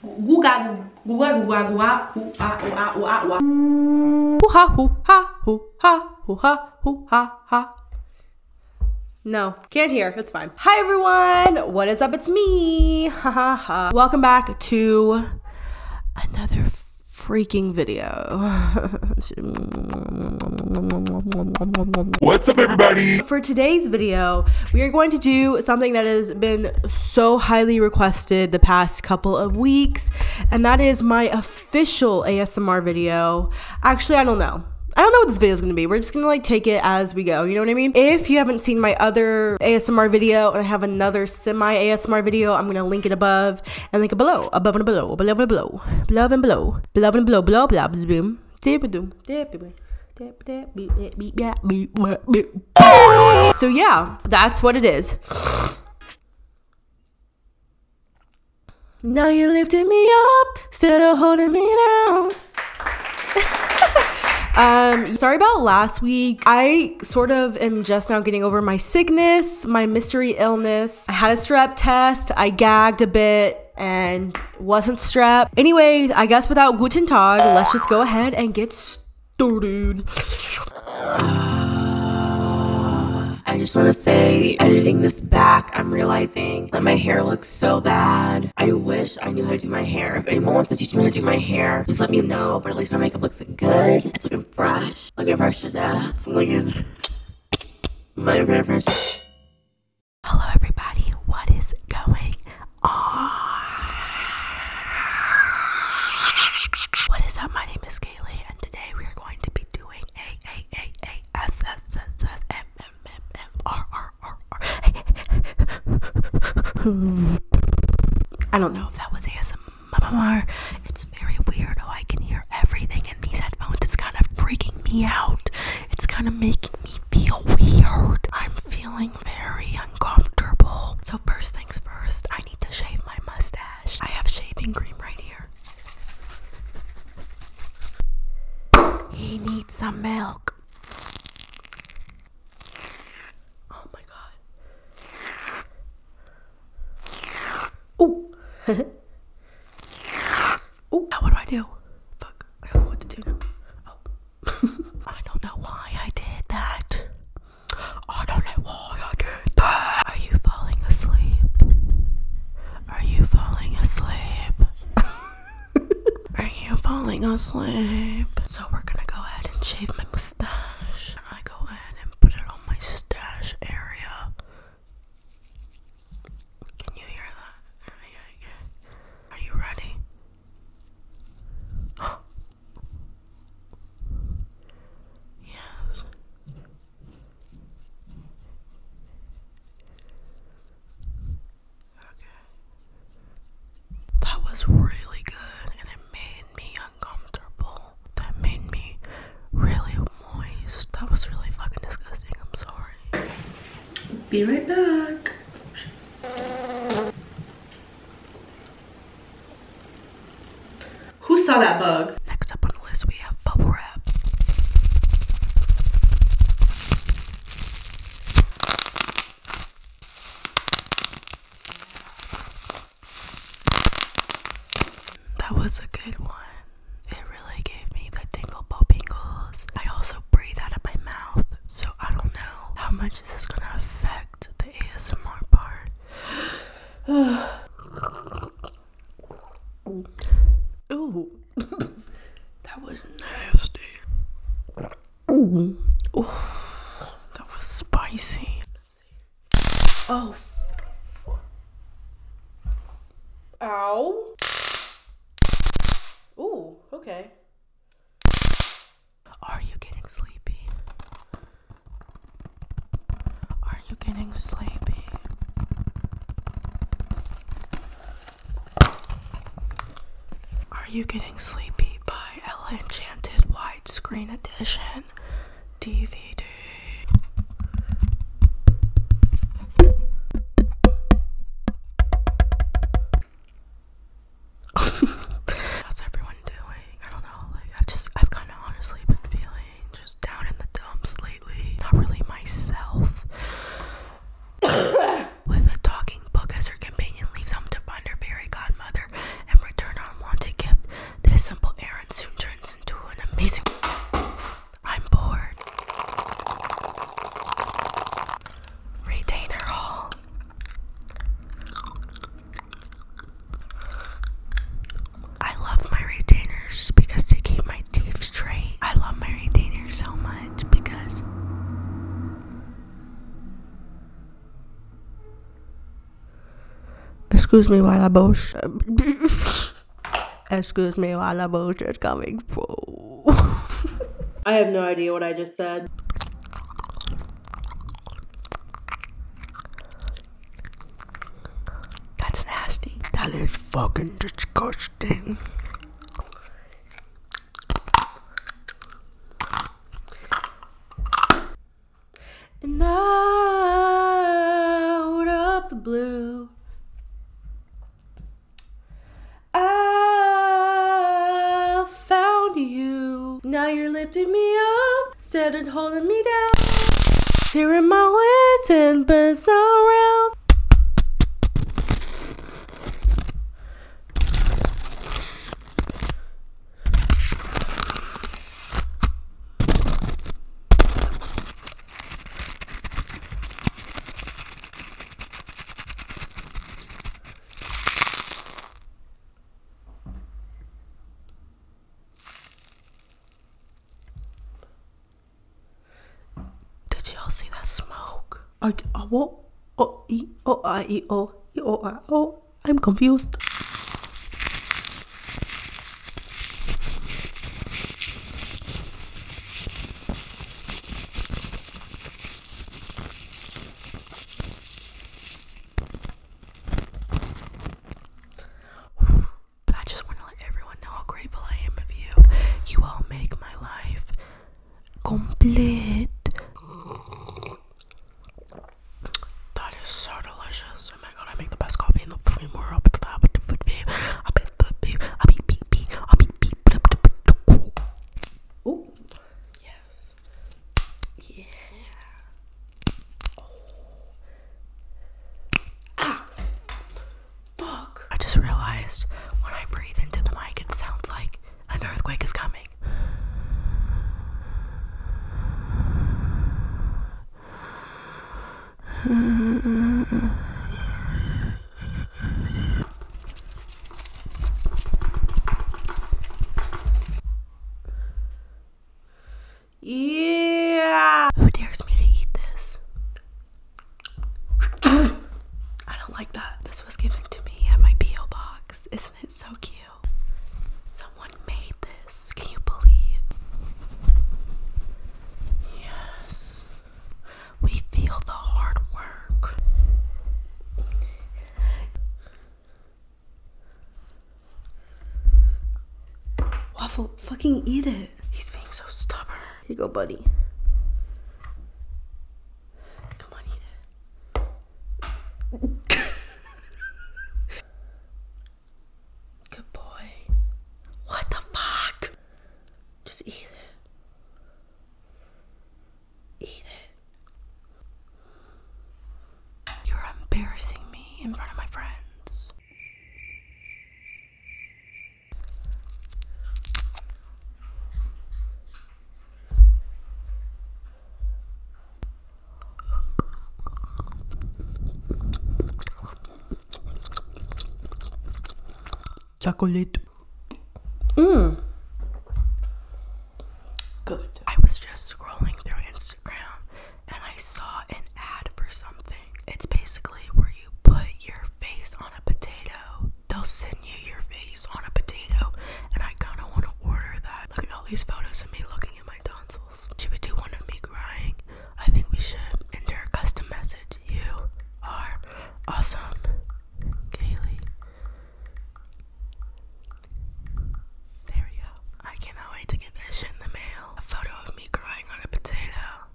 Guga guga guga guga ooh ah ooh ah Hoo ha hoo ha hoo ha hoo ha hoo ha ha. No, can't hear. It's fine. Hi everyone. What is up? It's me. Ha ha ha. Welcome back to another freaking video. What's up everybody? For today's video, we are going to do something that has been so highly requested the past couple of weeks, and that is my official ASMR video. Actually, I don't know. I don't know what this video is gonna be. We're just gonna like take it as we go. You know what I mean? If you haven't seen my other ASMR video and I have another semi ASMR video, I'm gonna link it above and link it below, above and below, below and below, below and below, below and below, below and below, blah blah blah boom. So yeah, that's what it is. Now you are lifting me up instead of holding me down. Um, sorry about last week. I sort of am just now getting over my sickness, my mystery illness. I had a strep test, I gagged a bit, and wasn't strapped. Anyways, I guess without guten tag, let's just go ahead and get started. I just want to say, editing this back, I'm realizing that my hair looks so bad. I wish I knew how to do my hair. If anyone wants to teach me how to do my hair, please let me know. But at least my makeup looks good. It's looking fresh. Looking fresh to death. Looking... My fresh. Hello, everybody. What is going on? What is up? My name is Kaylee, and today we are going to be doing a a a a s s s s m m m m r r r r. I don't know if that was ASMR. It's very weird how I can hear everything in these headphones. It's kind of freaking me out. It's kind of making me might weird. I'm feeling very uncomfortable. So, first things first, I need to shave my mustache. I have shaving cream right here. He needs some milk. Oh my god. Oh. Oh, what do I do? Fuck, I don't know what to do now. Oh. I don't know why I did that. I don't know why I did that. Are you falling asleep? Are you falling asleep? Are you falling asleep? So we're gonna go ahead and shave my mustache. I go ahead and put it on my stash area. Can you hear that? Oh Are you ready? yes. Okay. That was really good and it made me uncomfortable. That made me really moist. That was really fucking disgusting. I'm sorry. Be right back. Who saw that bug? Next up on the list, we have bubble wrap. That was a good one. It really gave me the tingle popingles. I also breathe out of my mouth so I don't know how much this is gonna affect the ASMR part. Ooh, that was nasty. Ooh, that was spicy. Oh. Ow. Ooh, okay. Are you getting sleepy? Are you getting sleepy? Are you getting sleepy by Ella Enchanted Widescreen Edition DVD? How's everyone doing? I don't know. Like I've just I've kind of honestly been feeling just down in the dumps lately. Not really myself. With a talking book as her companion leaves home to find her fairy godmother and return her unwanted gift, this simple errand soon turns into an amazing. I'm bored retainer hall. I love my retainers because they keep my teeth straight. I love my retainers so much because Excuse me while I bullshit. Excuse me while I bullshit coming for. I have no idea what I just said. That's nasty. That is fucking disgusting. And out of the blue, I found you. Now you're lifting me up, instead of holding me down. Tearing my ways and bends around. Did y'all see that smoke? I, I what? Oh, e, oh, I, e, oh, e, oh, I, oh, I'm confused. But I just want to let everyone know how grateful I am of you. You all make my life complete. That is so delicious. Oh my god, I make the best coffee in the fucking world. Oh, yes. Yeah. Ah. Fuck. I just realized when I breathe into the mic, it sounds like an earthquake is coming. Yeah! Who dares me to eat this? I don't like that. This was given to me at my P.O. box. Isn't it so cute? Someone made this. Can you believe? Yes. We feel the hard work. Waffle, fucking eat it. He's being so stubborn. you go, buddy. Come on, eat it. Good boy. What the fuck? Just eat it. Eat it. You're embarrassing me in front of my friends. Chocolate. Mmm. Good. I was just scrolling through Instagram and I saw an ad for something. It's basically where you put your face on a potato. They'll send you your face on a potato, and I kind of want to order that. Look at all these photos of me looking at my tonsils. Should we do one of me crying? I think we should. Enter a custom message. You are awesome, Kaylee. There we go. I cannot wait to get that shit in the mail. A photo of me crying on a potato.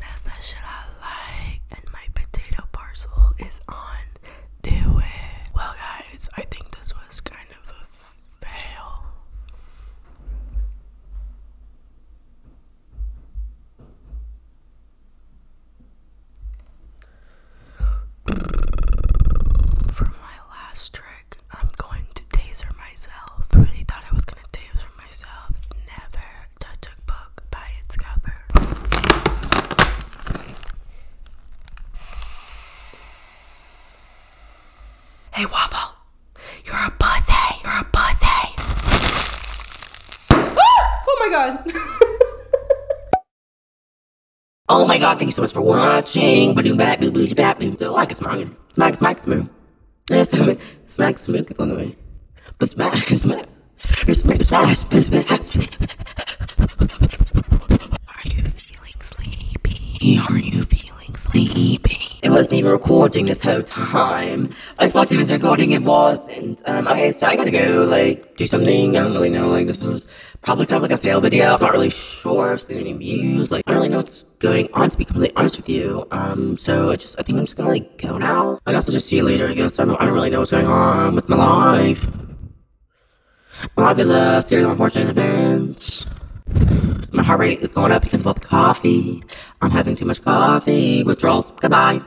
That's that shit I like. And my potato parcel is on. Do it. Well, guys, I think this was kind of a fail. For my last trick, I'm going to taser myself. I really thought I was gonna taser myself. Never judge a book by its cover. Hey, Waffle! You're a pussy! You're a pussy! Ah! Oh my god! Oh my god, thank you so much for watching. Badoom bat boo boozy bat boom. So like a smack, smack, smack, smoo. Smack, smoo, it's on the way. But smack, smack. Smack, smack, smack, smack. Are you feeling sleepy? Are you feeling sleepy? It wasn't even recording this whole time. I thought it was recording, it wasn't. Um, okay, so I gotta go, like do something. I don't really know. Like this is probably kind of like a fail video. I'm not really sure if it's going any views. Like I don't really know what's going on. To be completely honest with you, um, so I just I think I'm just gonna like go now. I guess I'll just see you later. I guess I don't, I don't really know what's going on with my life. My life is a series of unfortunate events. My heart rate is going up because of all the coffee. I'm having too much coffee. Withdrawals. Goodbye.